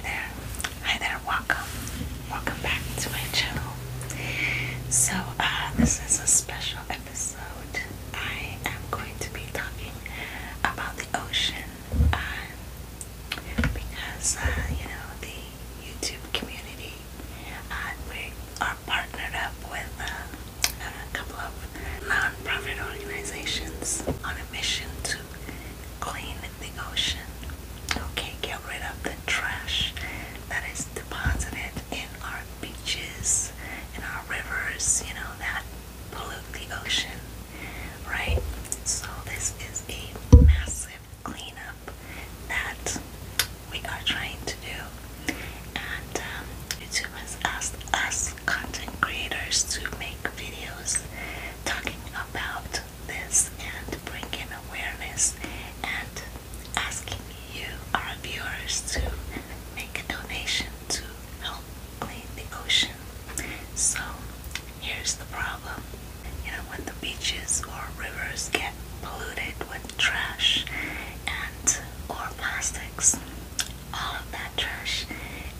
Hi there, welcome, welcome back to my channel. So, uh, this is a special episode. I am going to be talking about the ocean uh, because, uh, you know, the YouTube community, we are partnered up with a couple of non organizations on a mission to clean the ocean. Okay, get rid of the trash that is deposited in our beaches, in our rivers, you know, that pollute the ocean, right? So, this is a massive cleanup that we are trying to do. And um, YouTube has asked us, content creators, to make videos is talking about this and bringing awareness and asking you, our viewers, to make a donation to help clean the ocean. So here's the problem. You know, when the beaches or rivers get polluted with trash and or plastics, all of that trash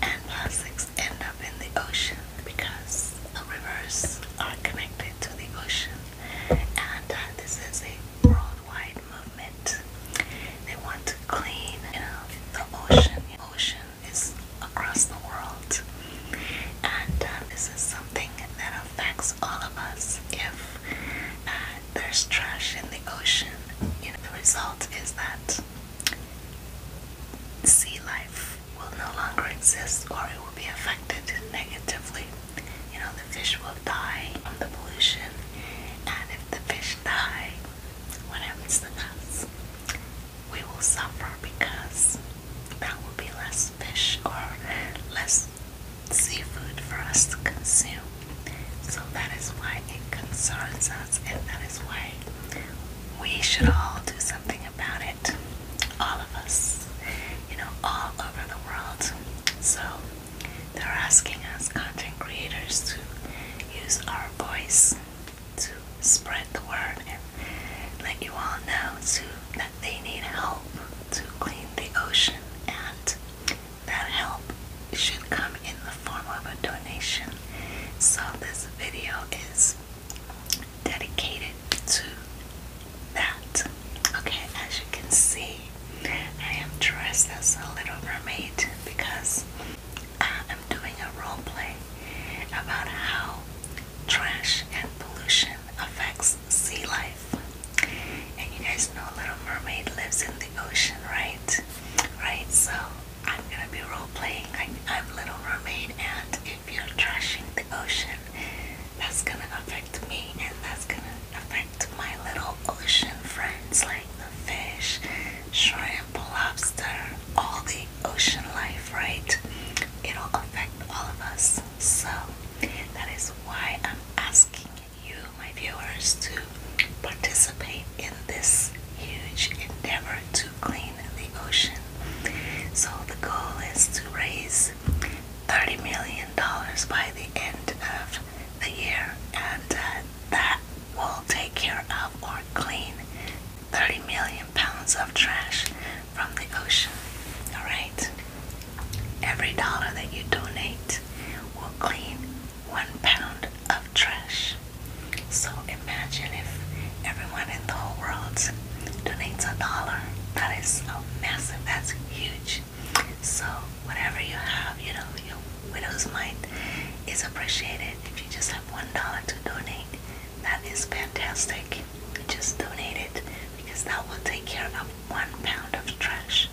and plastics end in the ocean because the rivers are connected to the ocean. And uh, this is a worldwide movement. They want to clean the ocean. The ocean is across the world. And uh, this is something that affects all of us. If uh, there's trash in the ocean, you know, the result is that sea life will no longer exist or it will be affected negatively. You know, the fish will die from the pollution, and if the fish die, what happens to us? We will suffer because there will be less fish or less seafood for us to consume. So that is why it concerns us, and that is why we should all do something about it. All of us, you know, all over the world. So they're asking us content creators to use our voice to spread the word and let you all know too that they need help to clean the ocean and that help should come in the form of a donation. So this video is dedicated to that. Okay, as you can see, I am dressed as a little mermaid because I am doing a role play about how trash and pollution affects sea life. And you guys know Little Mermaid lives in the ocean, right? Right? So I'm gonna be role playing. I'm, Little Romaine, and if you're trashing the ocean, that's gonna affect me, and that's gonna affect my little ocean friends like the fish, shrimp, lobster, all the ocean life, right? It'll affect all of us. So that is why I'm asking you, my viewers, to participate in this huge endeavor to clean the ocean. So the goal is to raise $30 million by the end of the year, and uh, that will take care of or clean 30 million pounds of trash from the ocean. Alright? Every dollar that you donate will clean one pound of trash. So imagine if everyone in the whole world donates a dollar. That is a massive, that's huge. So whatever you have, you know, your widow's mind is appreciated. If you just have one dollar to donate, that is fantastic. just donate it because that will take care of one pound of trash.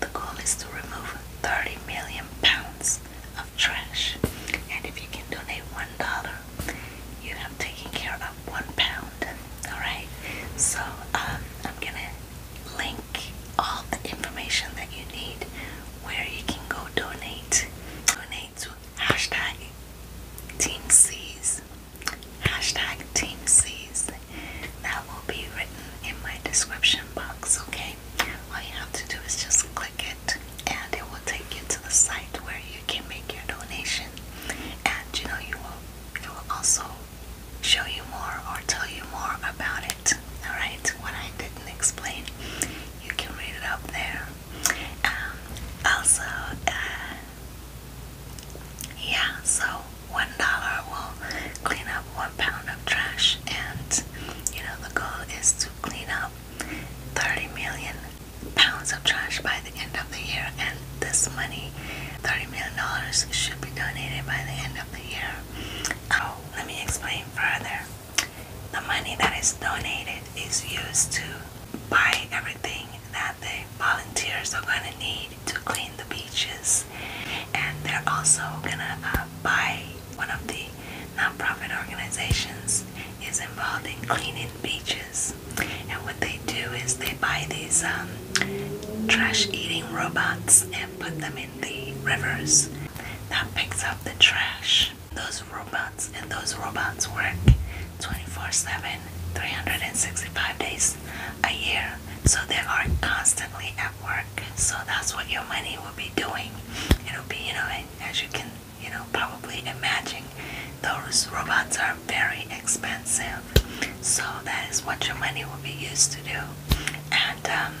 The goal is to remove 30 million pounds of trash. And if you can donate one dollar, you have taken care of one pound. Alright? So um, I'm gonna link all the information that you need where you can go donate. Donate to hashtag Team C's. Hashtag Team C's. That will be written in my description box, okay? okay all you have to do is just click it and it will take you to the site where you can make your donation and you know you will it will also show you more or tell you more about it all right what I didn't explain you can read it up there um, also uh, yeah so one dollar will clean one pound of trash, and you know, the goal is to clean up 30 million pounds of trash by the end of the year. And this money, 30 million dollars, should be donated by the end of the year. Oh, let me explain further. The money that is donated is used to buy everything that the volunteers are going to need to clean the beaches and they're also gonna uh, buy one of the nonprofit organizations is involved in cleaning beaches, and what they do is they buy these um, trash-eating robots and put them in the rivers. That picks up the trash. Those robots and those robots work 24/7, 365 days a year so they are constantly at work so that's what your money will be doing it'll be you know as you can you know probably imagine those robots are very expensive so that is what your money will be used to do and um,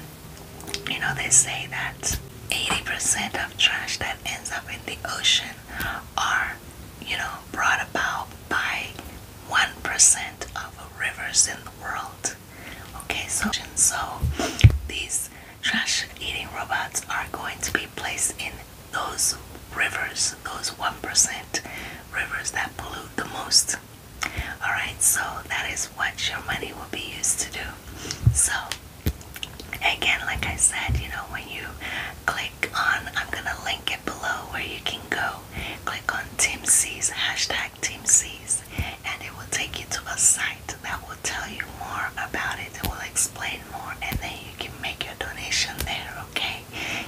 you know they say that 80% of trash that ends up in the ocean are you know brought about by 1% of rivers in the world Okay, so so these trash eating robots are going to be placed in those rivers, those 1% rivers that pollute the most. Alright, so that is what your money will be used to do. So, again, like I said, you know, when you click on, I'm gonna link it below where you can go click on Team C's, hashtag Team C's, and it will take you to a site that will tell you more about it. It will explain more, and then you can make your donation there, okay?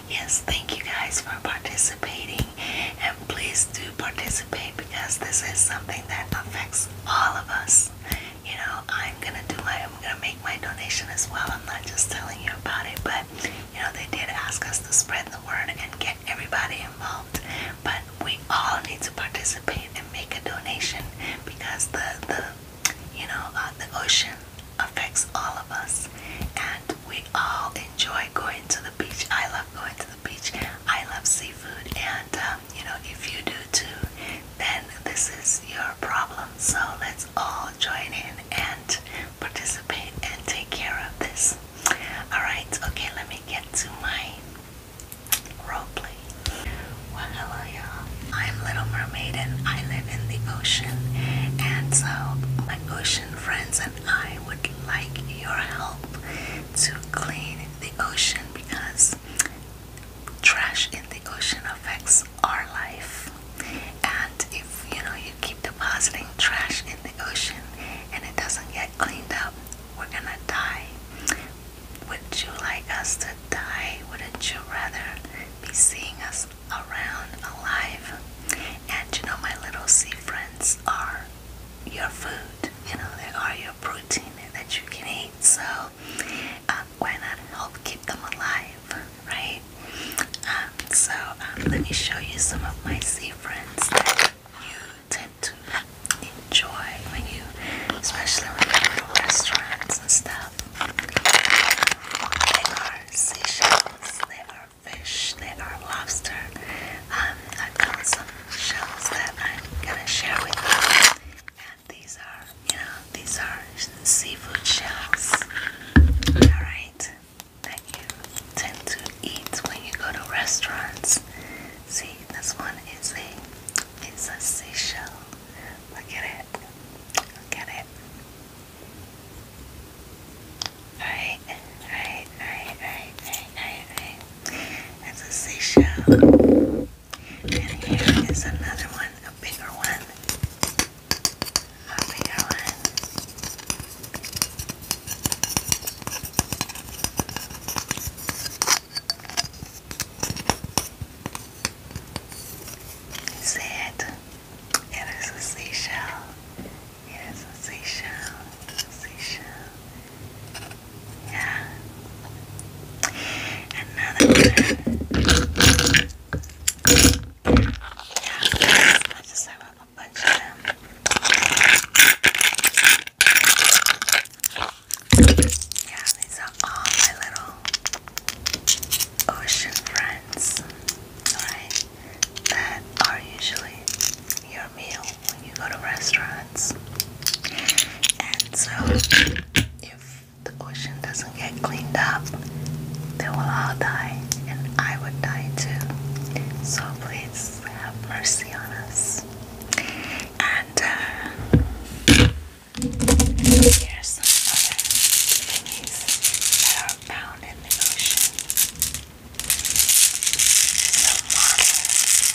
Yes, thank you guys for participating, and please do participate because this is something that affects all of us. You know, I'm gonna do my, I'm gonna make my donation as well. I'm not just telling you about it, but you know, they did ask us to spread the word and get everybody involved, but we all need to participate and make a donation because the, the you know, uh, the ocean affects all of us and we all enjoy going to the beach. I love going to the beach. I love seafood and, um, you know, if you do too, then this is your problem. So let's all join in and participate and take care of this. Alright, okay, let me get to my roleplay. Well, hello, y'all. I'm Little Mermaid and I live in the ocean. And so, my ocean friends and I would like your help to clean the ocean because trash in the ocean affects our life. And if you know you keep depositing trash in the ocean and it doesn't get cleaned up, we're gonna die. Would you like us to die? Wouldn't you rather be seeing us around alive? And you know, my little sea friends are your food. You know, they are your protein that you can eat. So, I'm uh, gonna help keep them alive, right? Uh, so um, let me show you some of my sea friends that you tend to enjoy when you, especially when you go to restaurants and stuff. They are seashells, they are fish, they are lobster. Um, I've got some shells that I'm gonna share with you. And these are, you know, these are seafood shells. Alright that you tend to eat when you go to restaurants. See, this one is a it's a seashell. Look at it. Look at it. Alright, alright, alright, alright, alright, alright, alright. a seashell. And here is another one, a bigger one i am going. See it? It is a seashell. It is a seashell. seashell. Yeah. Another yeah, I just have a bunch of them. Yeah, these are all my little ocean friends, right? That are usually your meal when you go to restaurants. And so, if the ocean doesn't get cleaned up, they will all die, and I would die too. So please have mercy on us. And uh, here's some other thingies that are found in the ocean. Some marble,